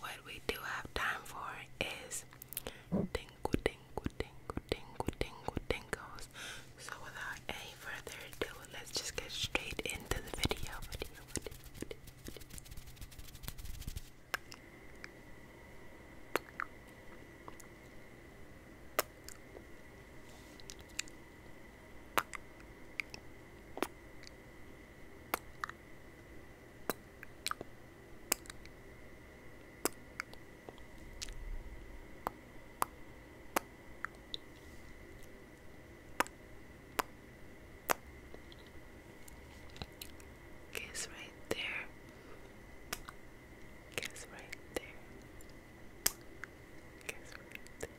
what we do have time for is tingle, tingle, tingle, tingle, tingle, tingles. So without any further ado, let's just get straight into the video. Kiss right there. Kiss right there. Kiss right there.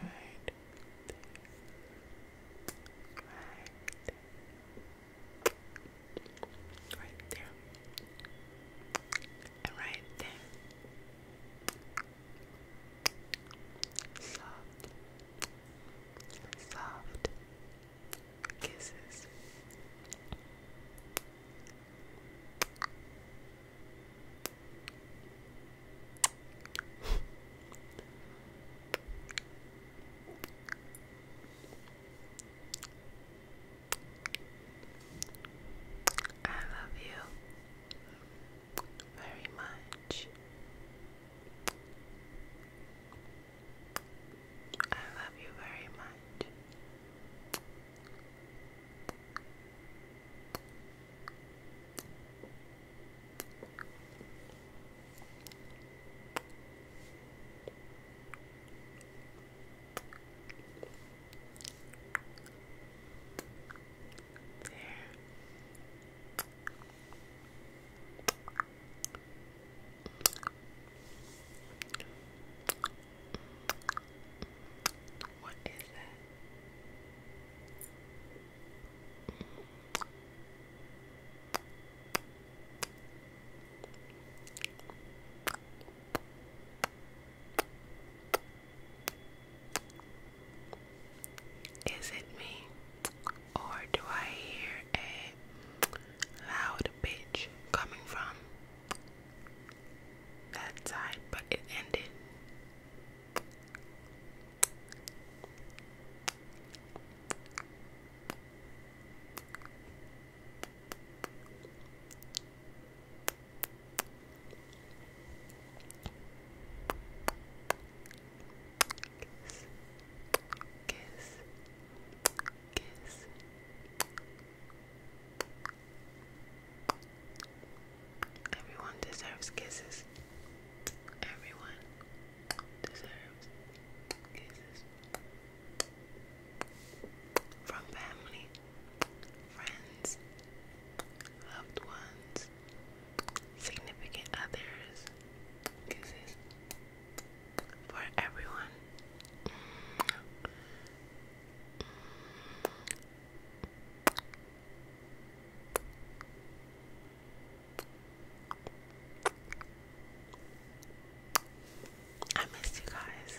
Right there. Right there. Right there. right there. Soft. Soft. Kisses. I love you very much. I love you very much. There. What is that? Is it me? or do I hear a loud bitch coming from that side, but it ended? kiss, kiss, kiss. Everyone deserves kisses. Everyone deserves kisses. From family, friends, loved ones, significant others. Kisses for everyone. I miss you guys.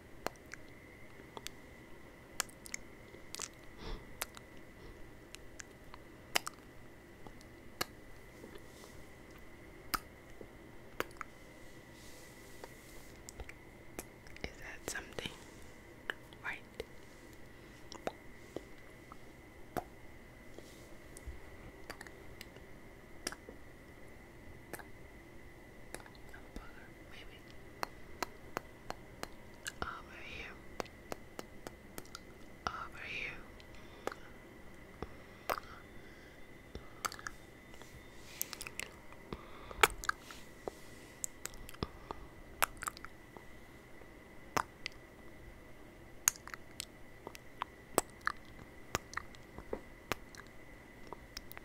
Is that something right? I'm Over here. Over here.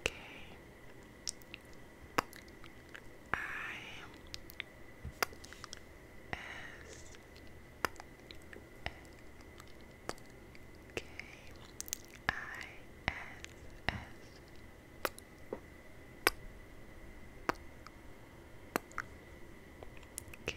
Okay. I S K I S S K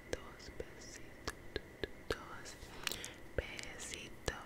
besitos, besitos, besitos. Besitos,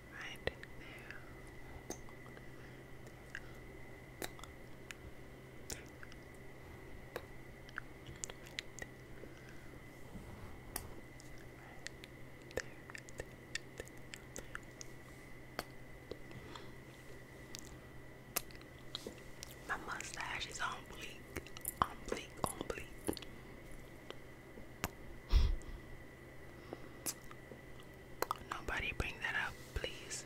right there. My mustache is on bleak, on bleak, on bleak. Nobody bring that up, please.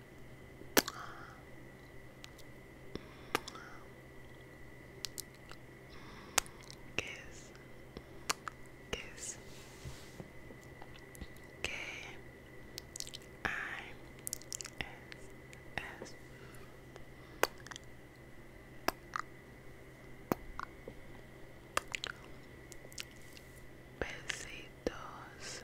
Kiss. Kiss. K I S S Besitos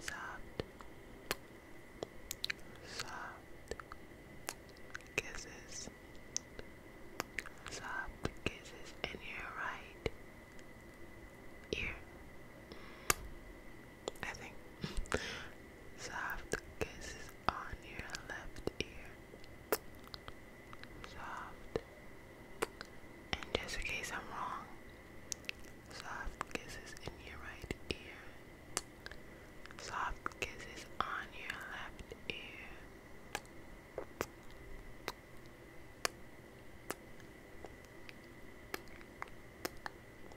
Soft, soft kisses, soft kisses in your right ear. I think. Soft kisses on your left ear. Soft. And just in case I'm wrong, soft kisses in your right ear. Soft kisses on your left ear.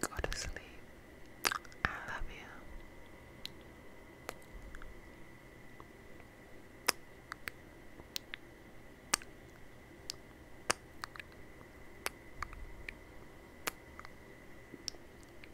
Go to sleep. I love you.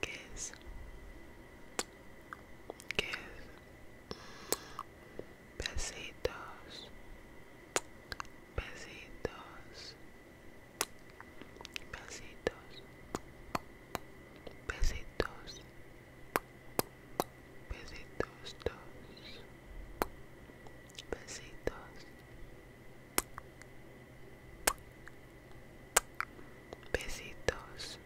¿Qué es? ¿Qué pesitos Besitos. Besitos. Besitos. Besitos. Besitos Besitos. Besitos.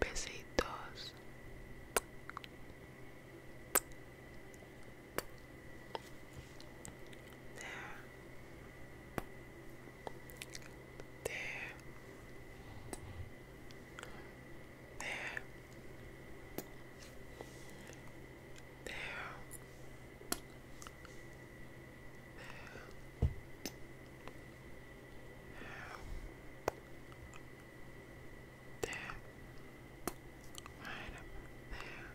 Besitos. te, te, te. There. There. There. There. Right up there. There. There.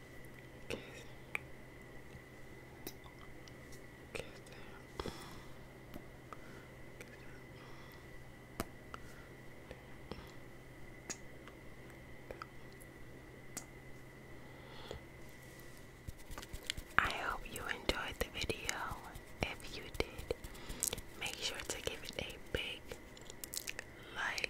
Get, I hope you enjoyed the video. If you did, make sure to give it a big like,